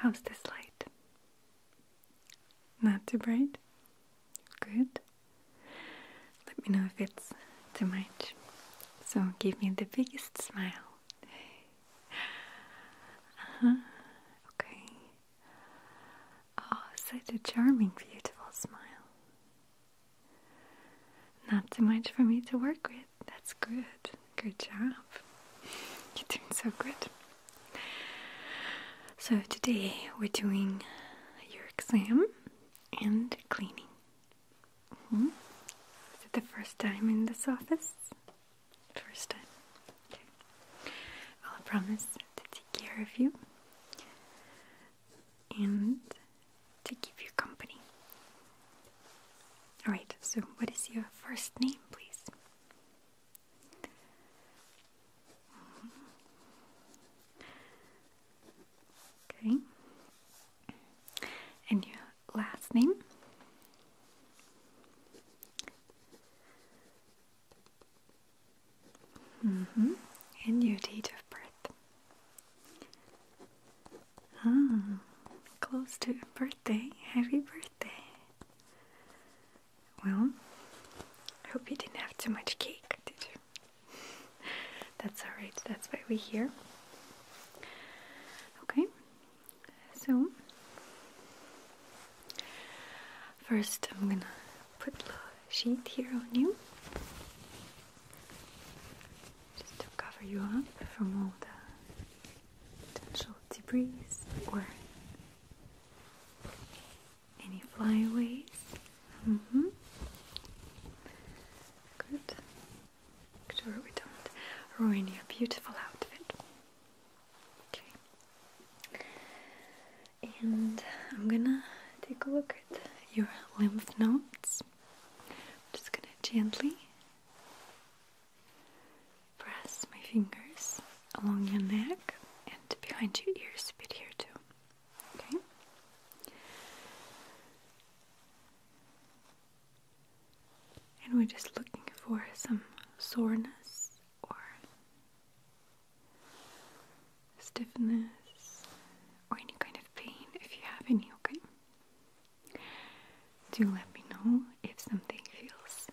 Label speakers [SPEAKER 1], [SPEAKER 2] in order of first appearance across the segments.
[SPEAKER 1] How's this light? Not too bright? Good. Let me know if it's too much. So give me the biggest smile. Uh-huh. Okay.
[SPEAKER 2] Oh, such a charming,
[SPEAKER 1] beautiful smile. Not too much for me to work with. That's good. Good job. You're doing so good. So, today we're doing your exam and cleaning. Hmm? Is it the first time in this office? First time. Okay. Well, I promise to take care of you. And to keep you company. Alright, so what is your first name, please? Okay. And your last name? -hmm. And your date of birth? Ah, close to your birthday. Happy birthday. Well, I hope you didn't have too much cake, did you? that's alright, that's why we're here. Okay, so first I'm gonna put the sheet here on you just to cover you up from all the potential debris or any flyaways. Mm-hmm. Good. Make sure we don't ruin your beautiful outfit. Okay. And I'm gonna take a look at your lymph nodes. just gonna gently Press my fingers along your neck and behind your ears a bit here too. Okay? And we're just looking for some soreness or stiffness or any kind of pain if you have any, okay? Do let me know if something feels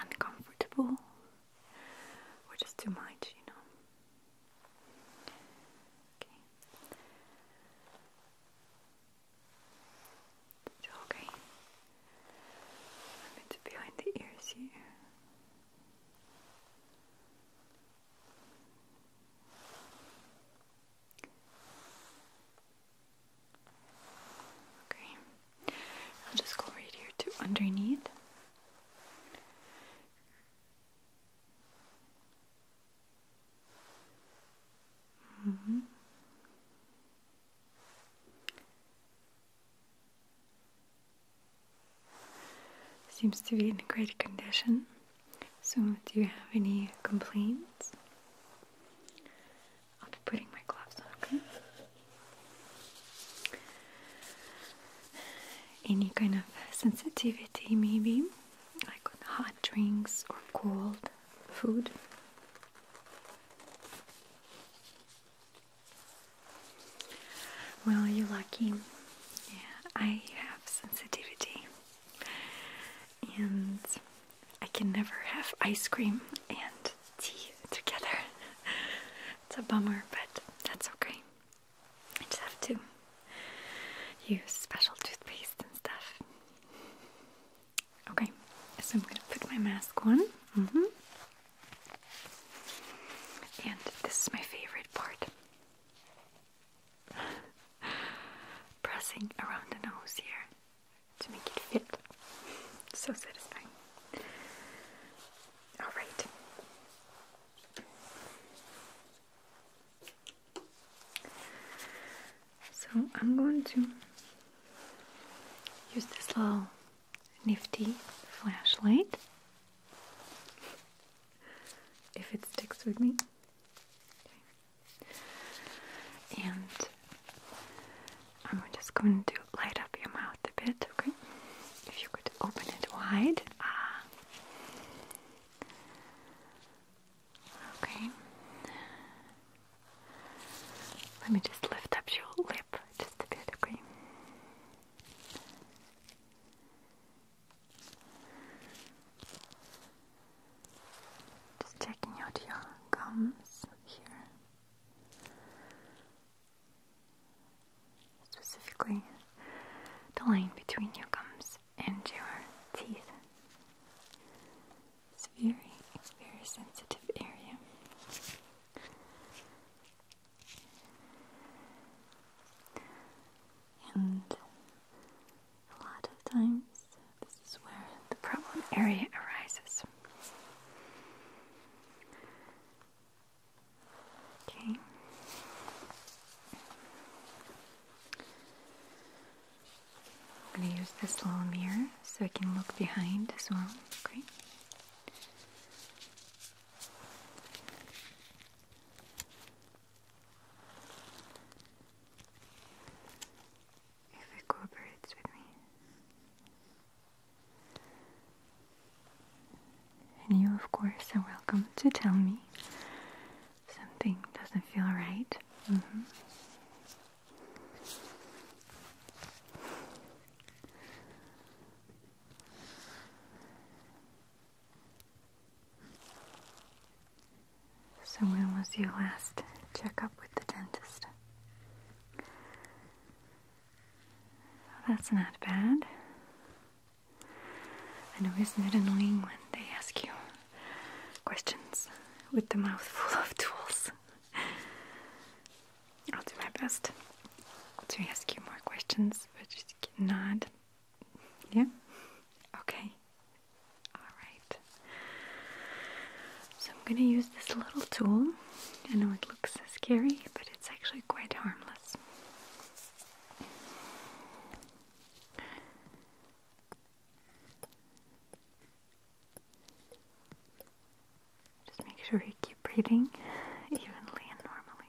[SPEAKER 1] uncomfortable or just too much, you know. Okay. It's behind the ears here. Okay, I'll just go right here to underneath. Mm-hmm. Seems to be in great condition. So, do you have any complaints? I'll putting my gloves on, okay? Any kind of sensitivity, maybe, like on hot drinks or cold food? Well, you're lucky. Yeah, I have sensitivity, and I can never have ice cream and tea together. it's a bummer, but that's okay. I just have to use special toothpaste and stuff. Okay, so I'm gonna put my mask on. Mm -hmm. And this is my favorite part. Pressing around the nose here to make it fit. So satisfying. Alright. So I'm going to use this little nifty flashlight if it sticks with me. And I'm just going to light up your mouth a bit, okay? If you could open it wide. Ah. Okay. Let me just lift up your lip just a bit, okay? Just checking out your gums here. Specifically, the line between your gums and your teeth. It's a very, very sensitive area. And a lot of times this is where the problem area arises. Okay. I'm going to use this little mirror so I can look behind as well. Okay. It recuperates with me. And you, of course, are welcome to tell me something doesn't feel right. Mm-hmm. So when was your last checkup with the dentist? That's not bad. I know, isn't it annoying when they ask you questions with the mouth full of tools? I'll do my best to ask you more questions, but just nod. Yeah? Okay. Alright. So I'm gonna use this little tool. I know it looks scary, but it's actually quite harmless. Just make sure you keep breathing evenly and normally.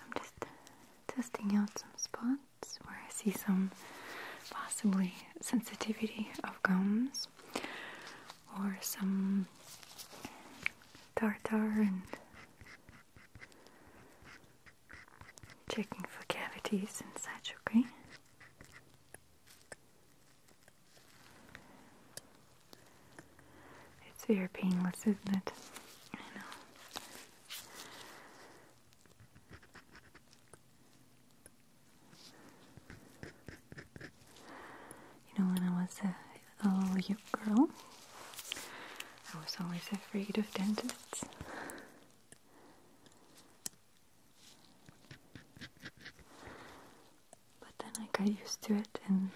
[SPEAKER 1] I'm just testing out some spots where I see some possibly sensitivity of gums or some tartar and Checking for cavities and such, okay? It's very painless, isn't it? I know. You know, when I was uh, Oh, you girl, I was always afraid of dentists. But then I got used to it and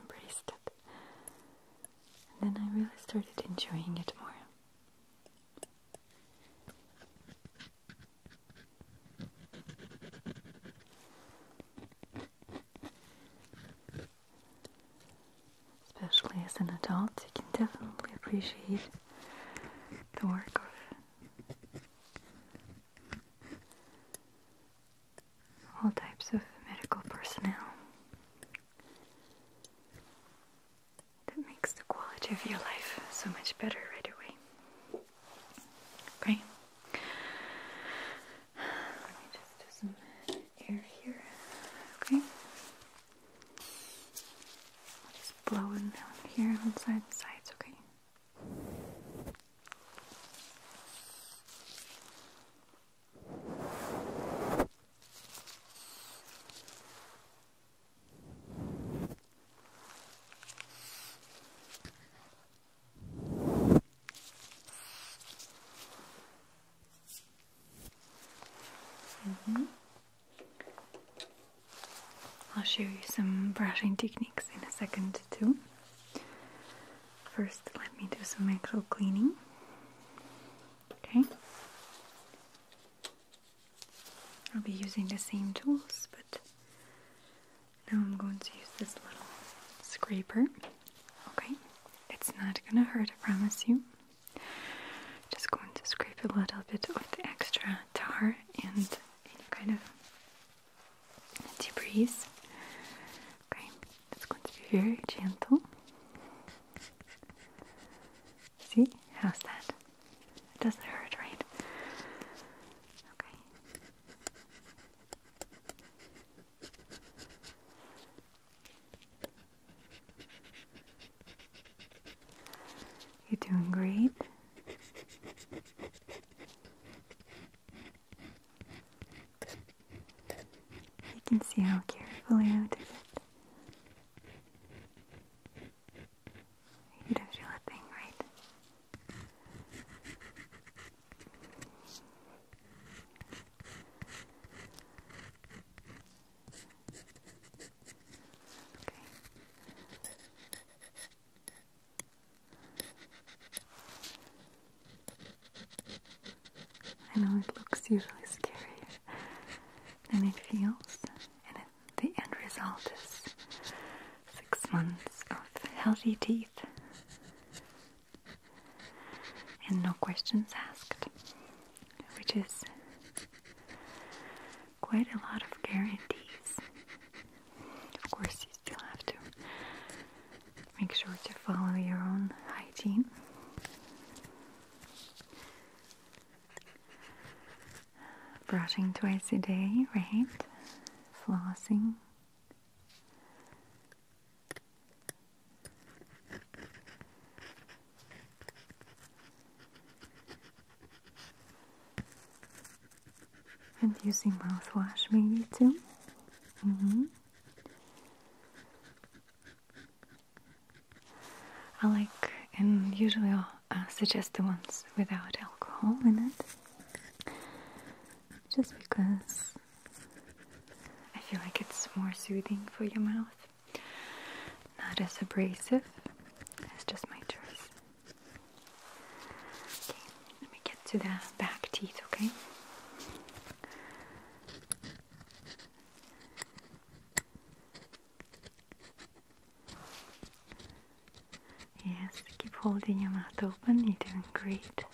[SPEAKER 1] embraced it. And then I really started enjoying it more. Especially as an adult, you can definitely appreciate the work of all types of medical personnel. That makes the quality of your life so much better right away. Okay? Let me just do some air here. Okay. just blowing down here on the side and sides, Okay. Mm -hmm. I'll show you some brushing techniques in a second too. First, let me do some actual cleaning. Okay. I'll be using the same tools, but now I'm going to use this little scraper. Okay, it's not gonna hurt, I promise you. Just going to scrape a little bit of the extra tar and any kind of debris. Okay, it's going to be very gentle. See, how's that? It doesn't hurt, right? Okay. You're doing great. You can see how carefully I did it. You don't thing, right? I know it looks usually scary and it feels and the end result is six months of healthy teeth and no questions asked, which is quite a lot of guarantees. Of course, you still have to make sure to follow your own hygiene. Brushing twice a day, right? Flossing. And using mouthwash maybe too. Mm -hmm. I like and usually I'll uh, suggest the ones without alcohol in it. Just because I feel like it's more soothing for your mouth, not as abrasive. That's just my choice. Okay, let me get to the back teeth, okay? Yes, keep holding your mouth open. You're doing great.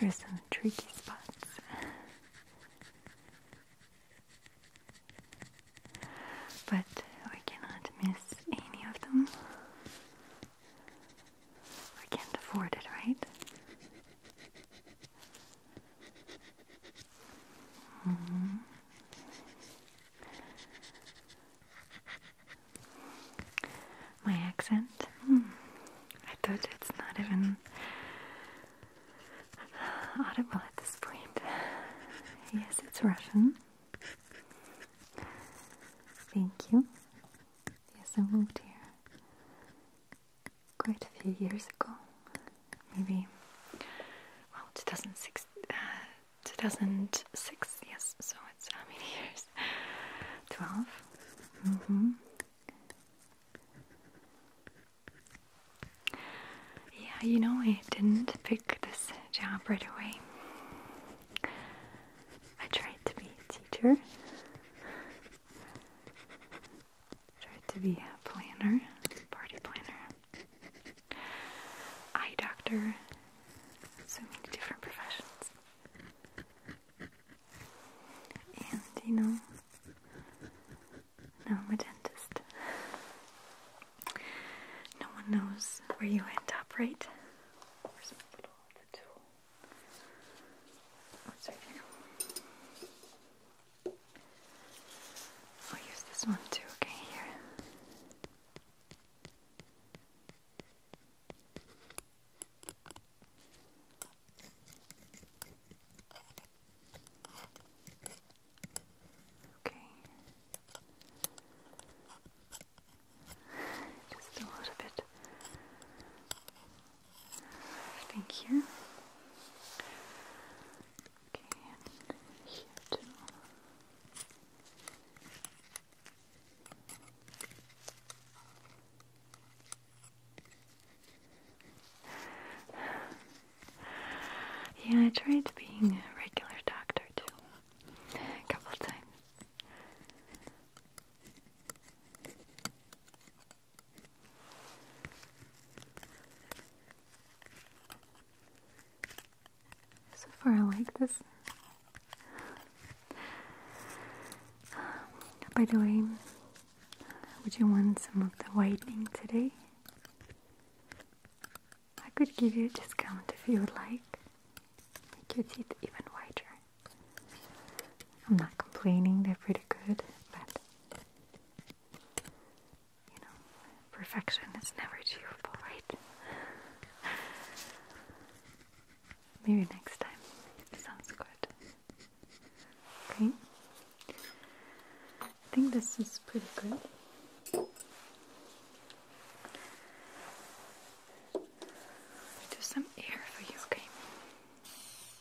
[SPEAKER 1] There's some tricky spots. But we cannot miss any of them. I can't afford it, right? Mm-hmm. My accent? Hmm. I thought it's not even audible at this point. Yes, it's Russian. Thank you. Yes, I moved here quite a few years ago, maybe, well, 2006, uh, 2006 yes, so it's how uh, many years? 12? Mm-hmm. Yeah, you know, I didn't pick this job right away. I tried to be a teacher. Tried to be a planner, party planner, eye doctor, so many different professions. And you know, now I'm a dentist. No one knows where you end up, right? I'll use this one too, okay? Here. Okay. Just a little bit Thank you. Okay, here too. Yeah, I tried being a regular doctor too, a couple of times. So far, I like this. Um, by the way, would you want some of the whitening today? I could give you a discount if you would like. Make your teeth even whiter. I'm not complaining, they're pretty good, but you know, perfection is never achievable, right? Maybe next time. Sounds good. Okay. I think this is pretty good. Do some air for you, okay?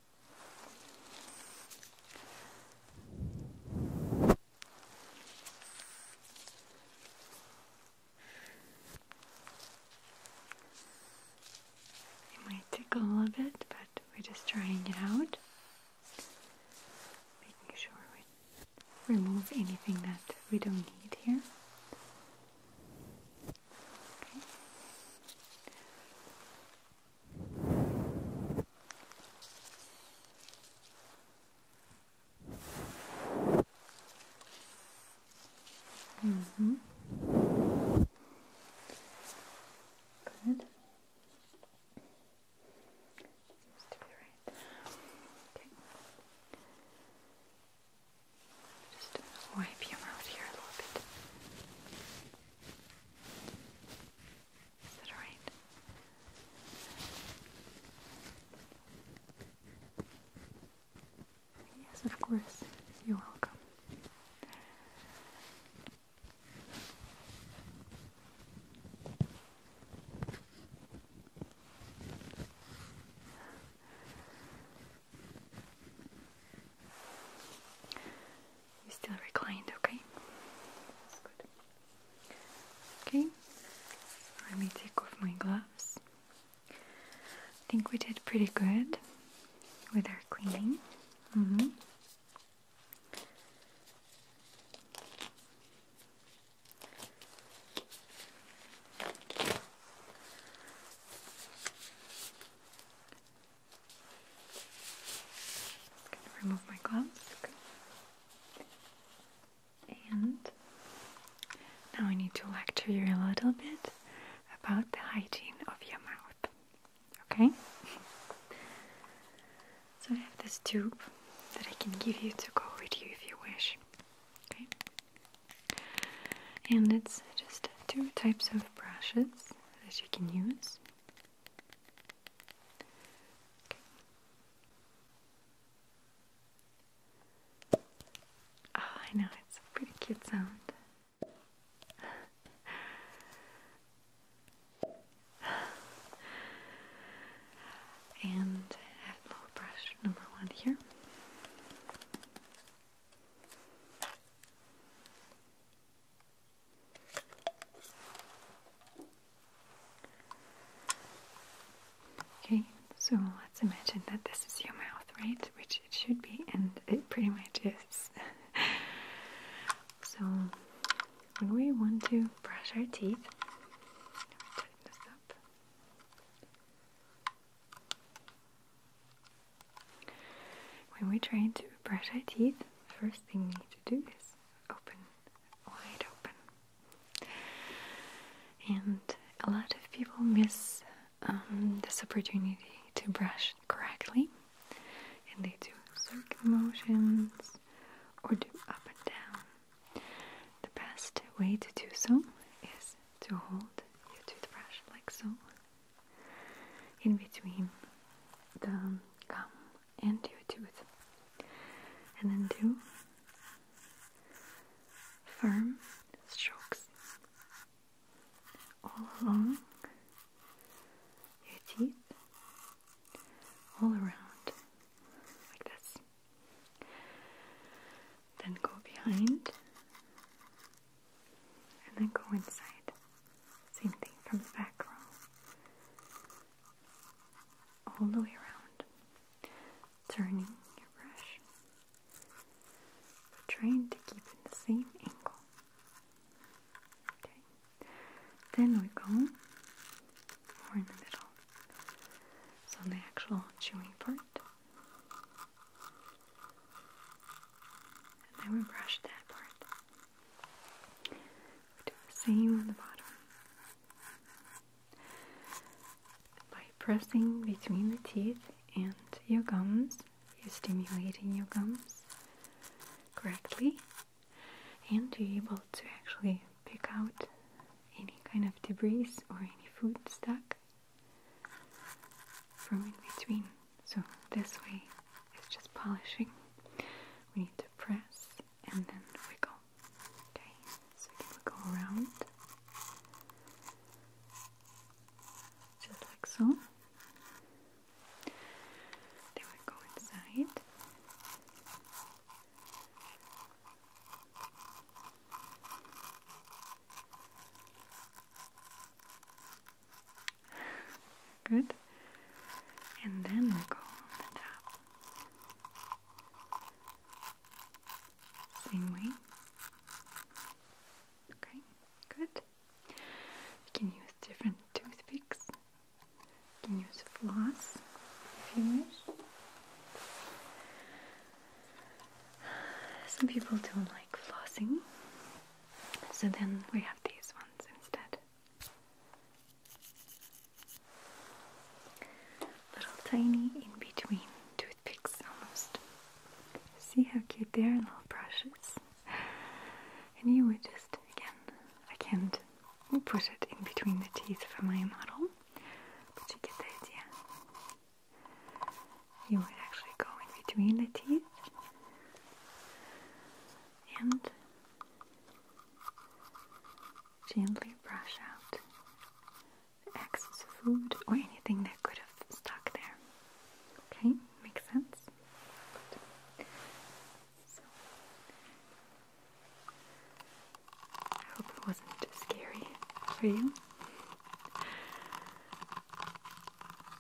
[SPEAKER 1] It might tickle a little bit, but we're just trying it out. Making sure we remove anything that we don't need here. Mm -hmm. Good. Just wipe your mouth here a little bit. Is that alright? Yes, of course. You're welcome. You're still reclined, okay? That's good. Okay, let me take off my gloves. I think we did pretty good with our cleaning. Mm-hmm. Going to remove my gloves. And now I need to lecture you a little bit about the hygiene of your mouth. Okay? So I have this tube that I can give you to go with you if you wish. Okay? And it's just two types of brushes that you can use. Ah, I know, it's a pretty cute sound. and little brush number one here. Okay, so let's imagine that this is your mouth, right? Which it should be, and it pretty much is. so, when we want to brush our teeth, when we're trying to brush our teeth, the first thing we need to do is open wide open. And a lot of people miss um, this opportunity to brush correctly, and they do circle motions or do up and down. The best way to do so is to hold your toothbrush like so in between the gum and your tooth, and then do firm strokes all along your teeth, all around, like this. Then go behind and then go inside. Same thing from the back row. All the way around. Turning your brush. Trying to keep in the same angle. Okay. Then we go more in the middle. So the actual chewing part. And then we brush that part do the same on the bottom by pressing between the teeth and your gums you're stimulating your gums correctly and you're able to actually pick out any kind of debris or any food stuck from in between so this way is just polishing. We need to press and then wiggle. Okay, so we can wiggle around. Just like so. Then inside. Good. And then we'll go on the top. Same way. Okay, good. You can use different toothpicks. You can use floss if you wish. Some people don't like flossing, so then we have these ones instead. Little tiny in between toothpicks almost. See how cute they are, little brushes. And you would just, again, I can't put it in between the teeth for my model, but you get the idea. You would actually go in between the teeth and gently brush out the excess food or anything that could have stuck there. Okay, makes sense? I hope it wasn't too scary for you.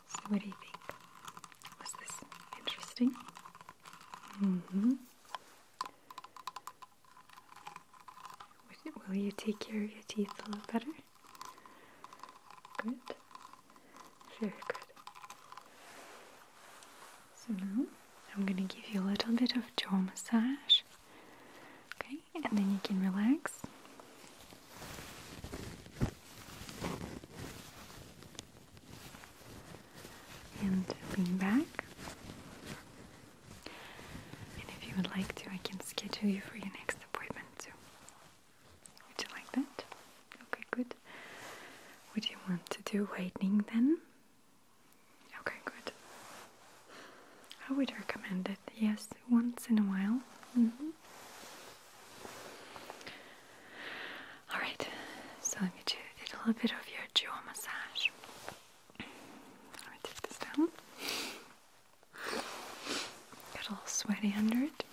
[SPEAKER 1] So, what do you think? Was this interesting? Mm -hmm. Will you take care of your teeth a little better? Good. Very good. So now I'm going to give you a little bit of jaw massage. Okay, and then you can relax and being back. And if you would like to, I can schedule you for your next appointment too. Would you like that? Okay, good. Would you want to do whitening then? Okay, good. I would recommend it, yes, once in a while. Mm-hmm. Alright, so let me do a little bit of your jaw massage. Let me take this down. Get all sweaty under it.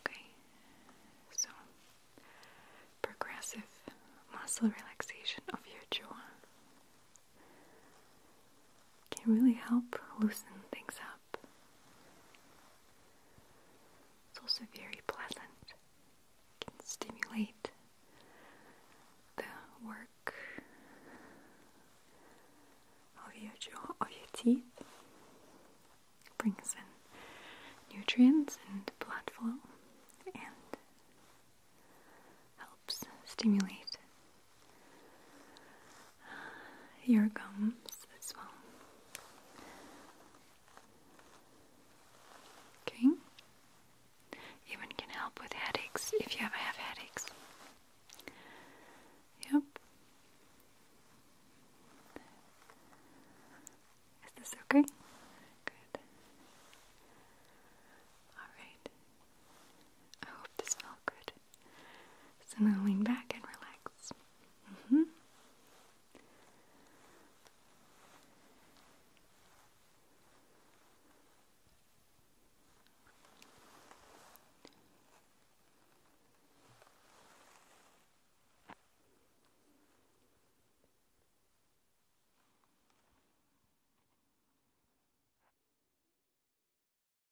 [SPEAKER 1] Okay, so progressive muscle relaxation of your jaw can really help loosen things up. It's also very pleasant. It can stimulate the work of your jaw, of your teeth. brings in nutrients and blood flow and helps stimulate your gums as well. Okay. Even can help with headaches if you ever have headaches. Yep. Is this okay? Good. Alright. I hope this felt good. So now lean back and relax. Mm-hmm.